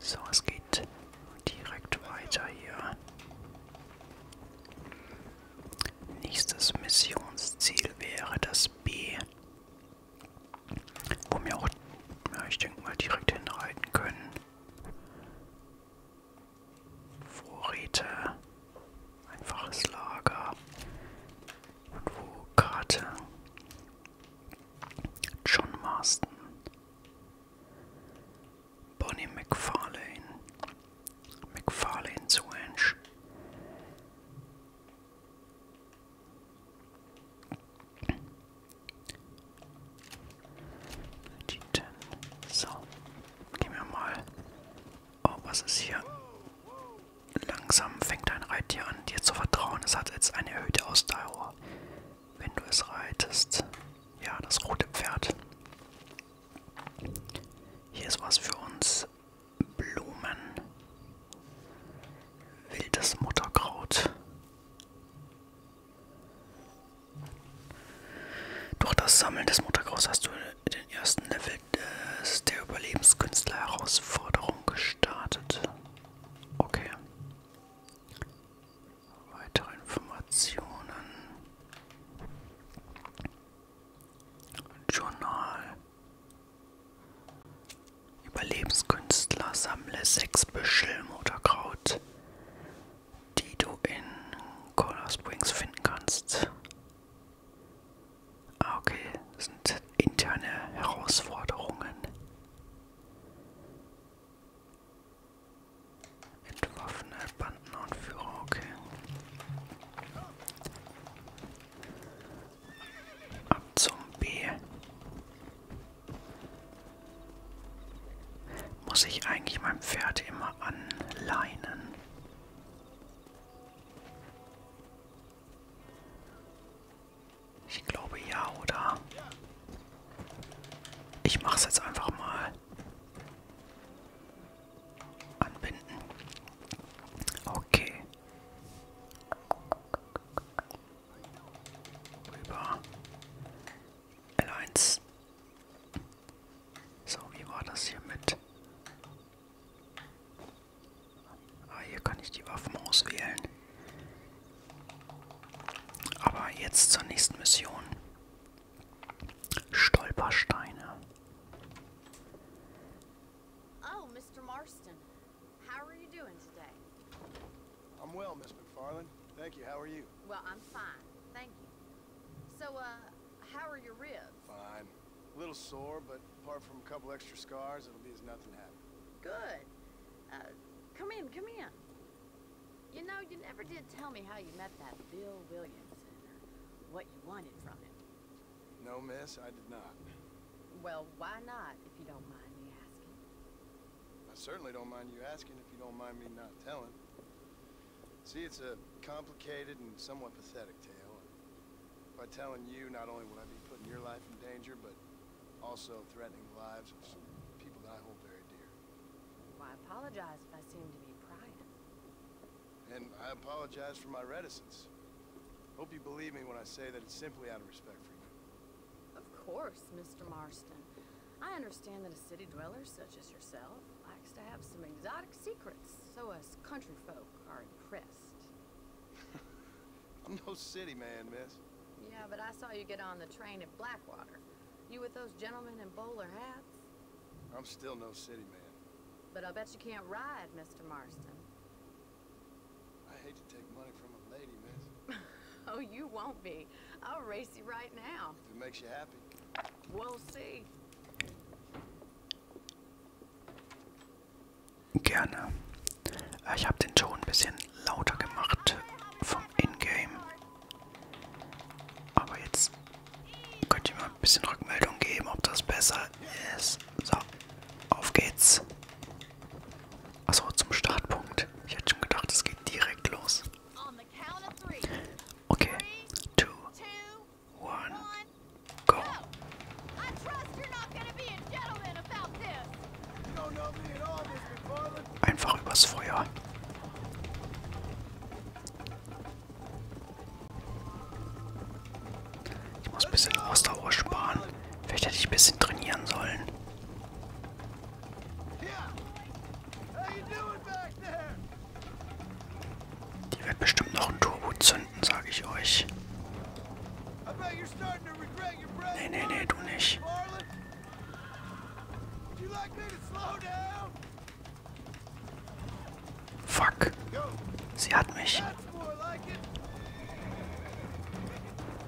So, es geht direkt weiter hier. Nächstes Missionsziel wäre das B. Wo wir auch, ja, ich denke mal, direkt hinreiten können. Vorräte, einfaches Lager, Karte, John Marston, Bonnie McFarlane, McFarlane zu Ange, So, gehen wir mal. Oh, was ist hier? Langsam fängt dein Reittier an, dir zu vertrauen. Es hat jetzt eine erhöhte Ausdauer, wenn du es reitest. Ja, das rote Pferd. Hier ist was für uns. Blumen. Wildes Mutterkraut. Durch das Sammeln des Mutterkrauts hast du den ersten Level des, der Überlebenskünstler-Herausforderung Wanderung gestartet. Okay. Weitere Informationen. Journal. Überlebenskünstler, sammle sechs Büschel Mutterkraut, die du in Color Springs finden kannst. Ah, okay. Das sind interne Herausforderungen. Entwaffene Bandenaufführer, okay. Ab zum B. Muss ich eigentlich mein Pferd immer anleinen? Ich glaube ja, oder? Ich mache es jetzt einfach mal. Anbinden. Okay. Rüber. L1. So, wie war das hier mit? Ah, hier kann ich die Waffen auswählen. Aber jetzt zur nächsten Mission. Stolpersteine. Oh, Mr. Marston. How are you doing today? I'm well, Miss McFarland. Thank you. How are you? Well, I'm fine. Thank you. So, uh, how are your ribs? Fine. A little sore, but apart from a couple extra scars, it'll be as nothing happened. Good. Uh, come in, come in. You know, you never did tell me how you met that Bill Williamson, or what you wanted from him. No, miss, I did not. Well, why not, if you don't mind me asking? I certainly don't mind you asking if you don't mind me not telling. See, it's a complicated and somewhat pathetic tale. By telling you, not only would I be putting your life in danger, but also threatening the lives of some people that I hold very dear. Well, I apologize if I seem to be prying. And I apologize for my reticence. Hope you believe me when I say that it's simply out of respect for you. Of course, Mr. Marston. I understand that a city dweller such as yourself likes to have some exotic secrets, so us country folk are impressed. I'm no city man, miss. Yeah, but I saw you get on the train at Blackwater. You with those gentlemen in bowler hats? I'm still no city man. But I bet you can't ride, Mr. Marston. I hate to take money from a lady, miss. oh, you won't be. I'll race you right now. If it makes you happy. We'll see. Gerne. Äh, ich habe den Ton ein bisschen lauter gemacht vom Ingame. Aber jetzt könnt ihr mir ein bisschen Rückmeldung geben, ob das besser ist. So, auf geht's. Achso, zum Startpunkt. Ich hätte schon gedacht, es geht direkt los. Okay, 2, 1. Go. Einfach übers Feuer. Ich muss ein bisschen Ausdauer sparen. Vielleicht hätte ich ein bisschen trainieren sollen. Die wird bestimmt noch ein Turbo zünden finden, sage ich euch. Nee, nee, nee, du nicht. Fuck. Sie hat mich.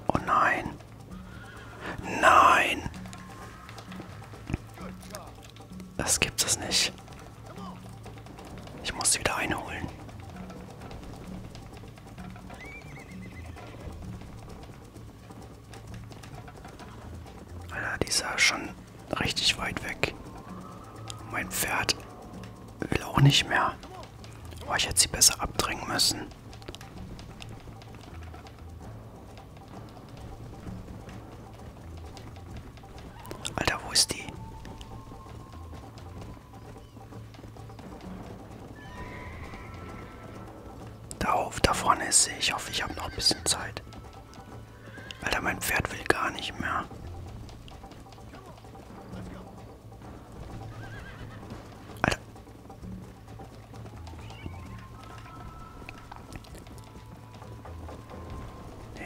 Oh nein. Nein. Das gibt es nicht. Ich muss sie wieder einholen. Alter, die ist ja schon richtig weit weg. Mein Pferd will auch nicht mehr. Oh, ich hätte sie besser abdrängen müssen. Alter, wo ist die? Da auf, da vorne ist sie. Ich hoffe, ich habe noch ein bisschen Zeit. Alter, mein Pferd will gar nicht mehr. Alter.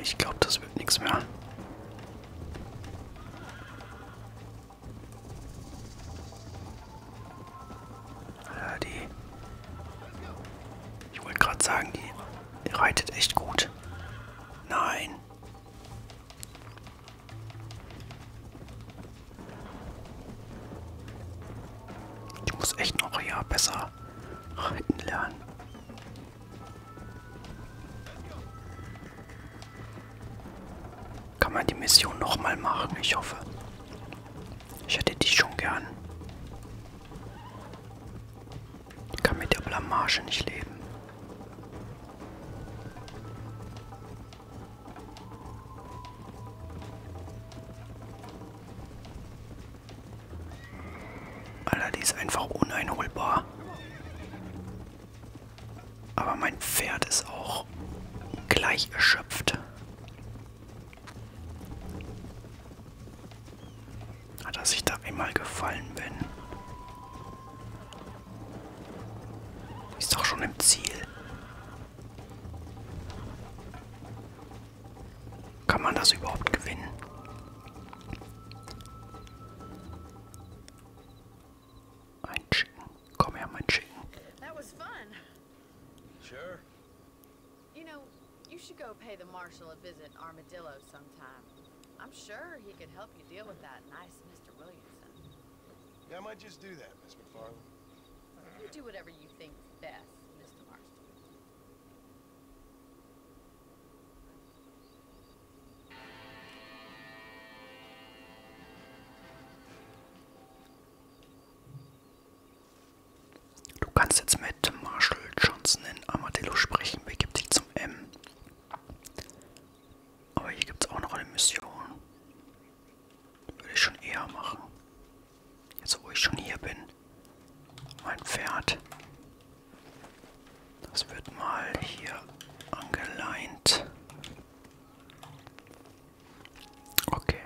Ich glaube, das wird nichts mehr. Ja, die. Ich wollte gerade sagen, die reitet echt gut. Nein. Ich muss echt noch ja besser reiten lernen. Kann man die Mission nochmal machen? Ich hoffe. Ich hätte die schon gern. Ich kann mit der Blamage nicht leben. Alter, die ist einfach uneinholbar. Aber mein Pferd ist auch gleich erschöpft. Dass ich da einmal gefallen bin. Ist doch schon im Ziel. Kann man das überhaupt gewinnen? Mein Komm her, mein Chicken. That was fun. Sure. You know, you should go pay the marshal a visit Armadillo sometime. I'm sure he could help you deal with that nice Mr. Williamson. Yeah, I might just do that, Miss McFarland. You do whatever you think best, Mr. Marston. Du kannst jetzt mit Marshall Johnson in Armadillo sprechen. Wer gibt dich zum M? Aber hier gibt es auch noch eine Mission. Würde ich schon eher machen. Jetzt, wo ich schon hier bin. Mein Pferd. Das wird mal hier angeleint. Okay.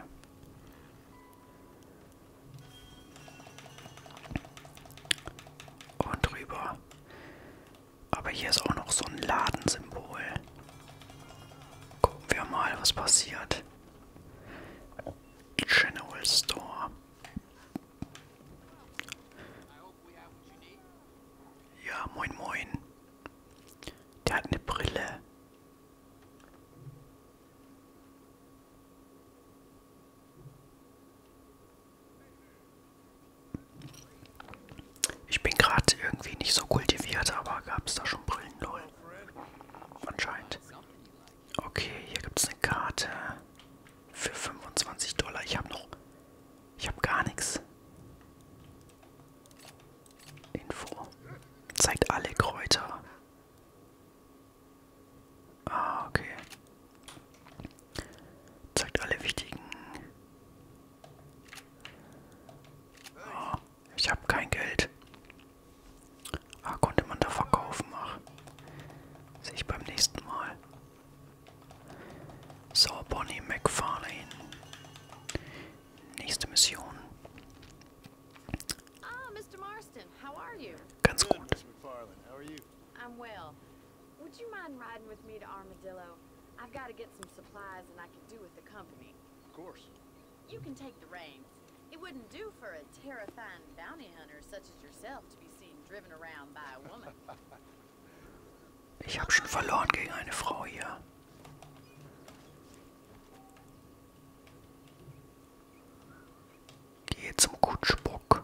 Und drüber. Aber hier ist auch noch so ein Ladensymbol. Gucken wir mal, was passiert. General Store. Ja, moin, moin. Der hat eine Brille. Ich bin gerade irgendwie nicht so kultiviert, aber gab es da schon Brillen, lol. Anscheinend. Okay, hier gibt es eine Karte. Für 25 Dollar. Ich habe noch. Ich habe gar nichts. Info. Zeigt alle Kräuter. Ah, okay. Zeigt alle wichtigen. Oh, ich habe kein Geld. Ah, konnte man da verkaufen? Ach, sehe ich beim nächsten Mal. So Bonnie McFarlane nächste Mission Ah Mr. Marston how are you Ganz gut McFarlane how are you I'm well Would you mind riding with me to Armadillo I've got to get some supplies and I could do with the company Of course You can take the reins It wouldn't do for a terrifying bounty hunter such as yourself to be seen driven around by a woman Ich habe schon verloren gegen eine Frau hier. Geh zum Kutschbock.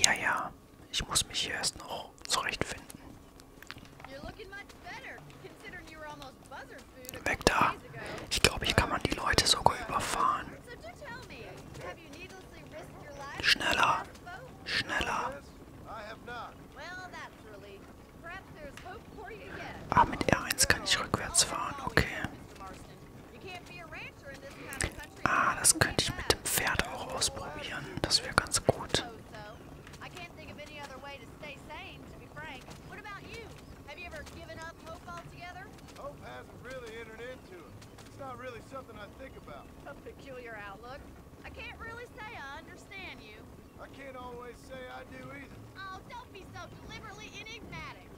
Ja, ja. Ich muss mich hier erst noch zurechtfinden. You're looking much better, considering you were almost buzzer Weg da. Ich glaube, hier kann man die Leute sogar überfahren. Schneller. Schneller. Ah, mit R1 kann ich rückwärts fahren. Okay. Ah, das könnte ich mit dem Pferd auch ausprobieren. Das wäre ganz gut. frank. What about you? Have you ever given up hope altogether? Hope hasn't really entered into it. It's not really something I think about. A peculiar outlook. I can't really say I understand you. I can't always say I do either. Oh, don't be so deliberately enigmatic.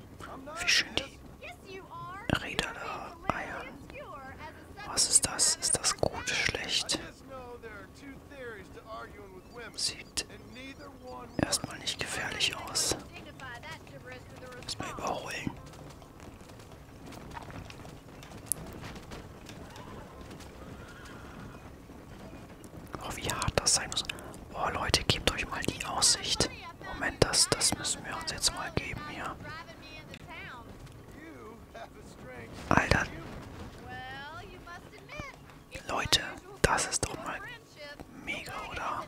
Yes, you are. Rede oder Eier. Was ist das? Ist das Sieht erstmal nicht gefährlich aus. Muss man überholen. Oh, wie hart das sein muss. Oh, Leute, gebt euch mal die Aussicht. Moment, das, das müssen wir uns jetzt mal geben hier. Alter. Leute, das ist doch mal mega, oder?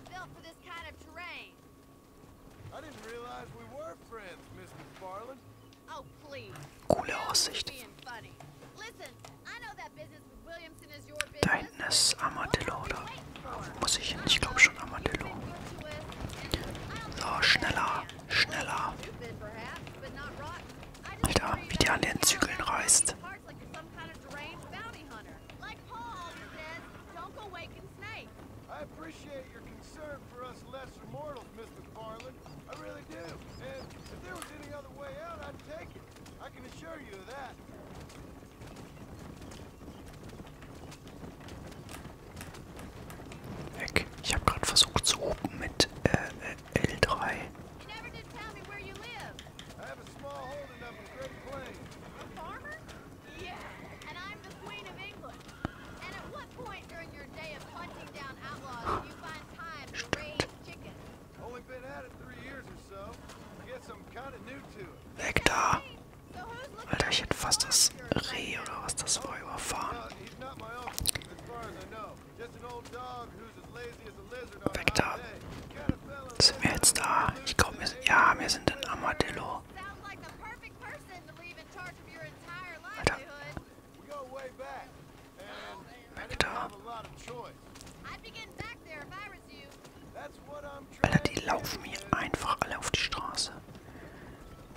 Coole Aussicht. Da hinten ist Armadillo, oder? Muss ich hin? Ich glaube schon Armadillo. So, schneller, schneller. Alter, wie der an den Zügeln reißt. I appreciate your concern for us lesser mortals, Mr. Farland. I really do. And if there was any other way out, I'd take it. I can assure you of that. Heck, ich habe gerade versucht zu oben mit äh, äh, l L3. I have a small holding up in Great Plains. A farmer? Yeah, and I'm the Queen of England. And at what point during your day of hunting down outlaws do you find time to raise chickens? Only been at it three years or so. I guess I'm kind of new to it. Weg da! Alter, ich hätte fast das Reh oder was das war Weg da. Sind wir jetzt da? Ich glaube, wir sind. Ja, wir sind in Amadillo. Alter. Weg da. Alter, die laufen mir einfach alle auf die Straße.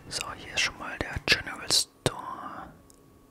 So, hier ist schon mal der General Store.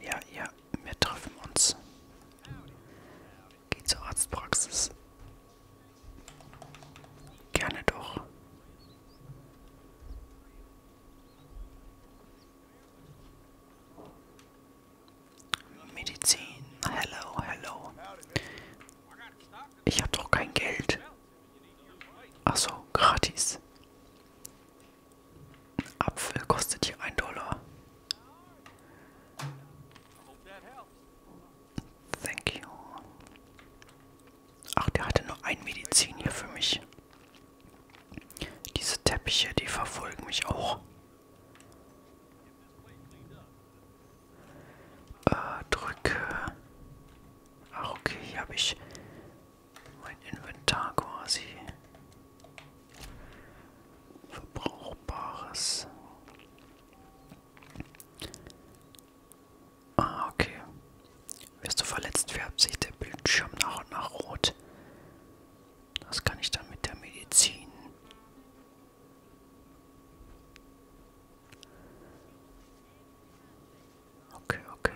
Ja, ja, wir treffen uns. Geh zur Arztpraxis. Gerne doch. Medizin. Hello, hello. Ich habe doch kein Geld. Ach so, gratis. Apfel kostet hier ein Dollar. Thank you. Ach, der hatte nur ein Medizin hier für mich. Diese Teppiche, die verfolgen mich auch. Äh, drücke. Ach, okay, hier habe ich mein Inventar quasi. Verbrauchbares. Ah, okay. Wirst du verletzt, färbt sich der Bildschirm nach und nach rot. Das kann ich dann mit der Medizin. Okay, okay.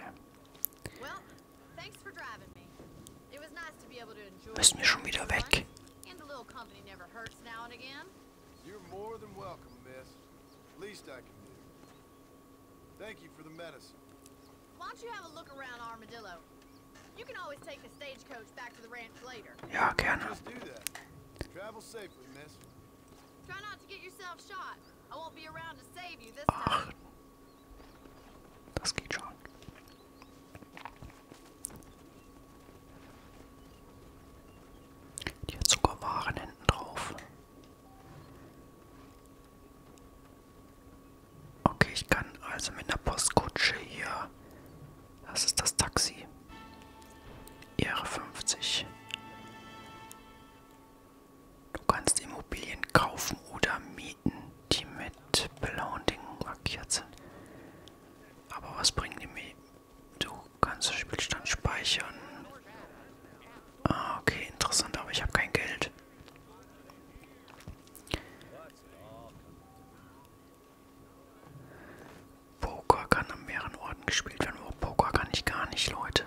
Müssen wir schon wieder weg? Thank you for the medicine. Why don't you have a look around Armadillo? You can always take the stagecoach back to the ranch later. Yeah, I can. Just do that. Travel safely, miss. Try not to get yourself shot. Ach. Das geht schon. Die hat sogar Waren hinten drauf. Okay, ich kann also mit einer Postkutsche hier. Das ist das Taxi. Ehre 50. Du kannst Immobilien kaufen oder mieten, die mit blauen Dingen markiert sind. Aber was bringen die mir? Du kannst den Spielstand speichern. Ah, okay, interessant, aber ich habe kein Geld. Poker kann an mehreren Orten gespielt werden. Oh, Poker kann ich gar nicht, Leute.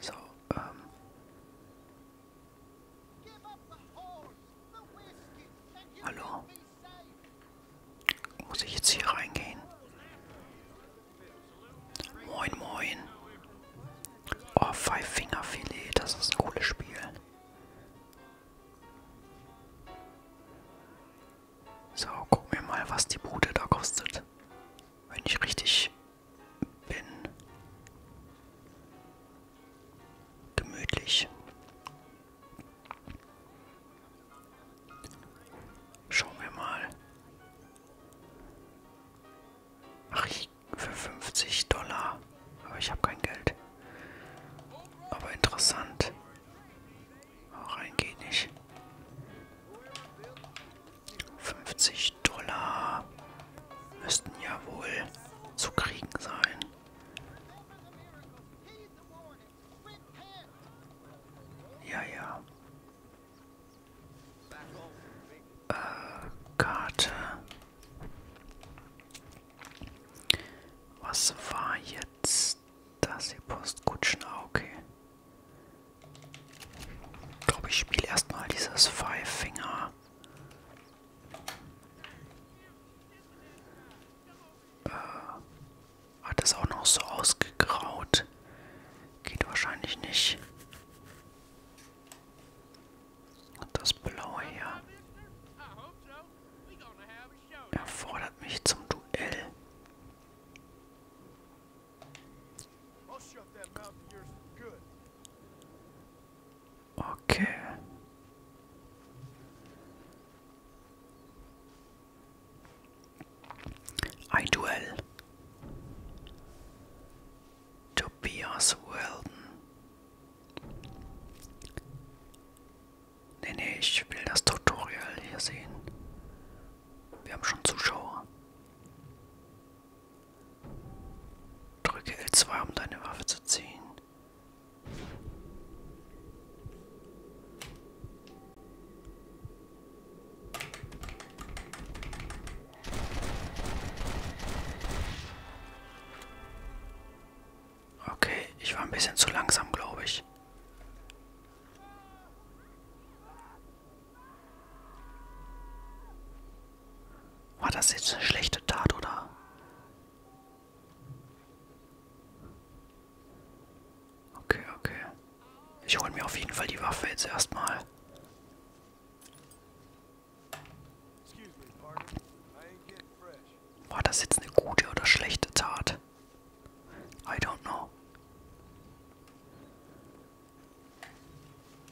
So, ähm. Hallo? Muss ich jetzt hier reingehen? Moin, moin. Oh, Five Finger Filet, das ist ein cooles Spiel. So, gucken wir mal, was die Bude da kostet wenn ich richtig bin, gemütlich. Schauen wir mal. Ach, ich für 50 Dollar. Aber ich habe kein Geld. Aber interessant. Auch rein geht nicht. 50 Dollar müssten ja wohl zu kriegen sein. Ja, ja. Äh, Karte. Was war jetzt das hier Postkutschen? Okay. Ich glaube, ich spiele erstmal dieses Five Finger. Äh, hat es auch noch so ausgegraut. Geht wahrscheinlich nicht. Und das Blaue hier erfordert mich zum Duell. Okay. Ein Duell. Tobias Weldon. Nee, nee, ich will das Tutorial hier sehen. Wir haben schon Zuschauer. Drücke L2, um deine Waffe zu ziehen. Okay, ich war ein bisschen zu langsam, glaube ich. War das jetzt eine schlechte Tat, oder? Okay, okay. Ich hole mir auf jeden Fall die Waffe jetzt erstmal. War das jetzt eine gute oder schlechte Tat? I don't know.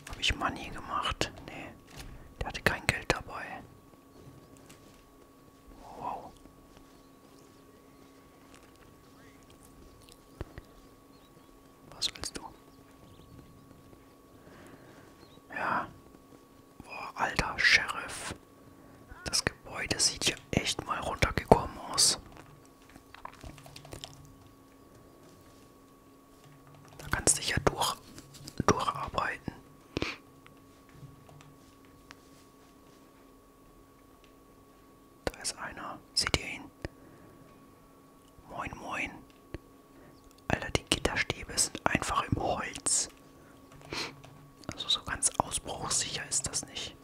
Habe ich Money gemacht? Nee. Der hatte kein Geld dabei. Wow. Was willst du? Ja. Boah, alter Sheriff. Das Gebäude sieht ja echt mal runtergekommen aus. Da kannst du dich ja durch, durcharbeiten. Da ist einer. Seht ihr ihn? Moin, moin. Alter, die Gitterstäbe sind einfach im Holz. Also so ganz ausbruchsicher ist das nicht.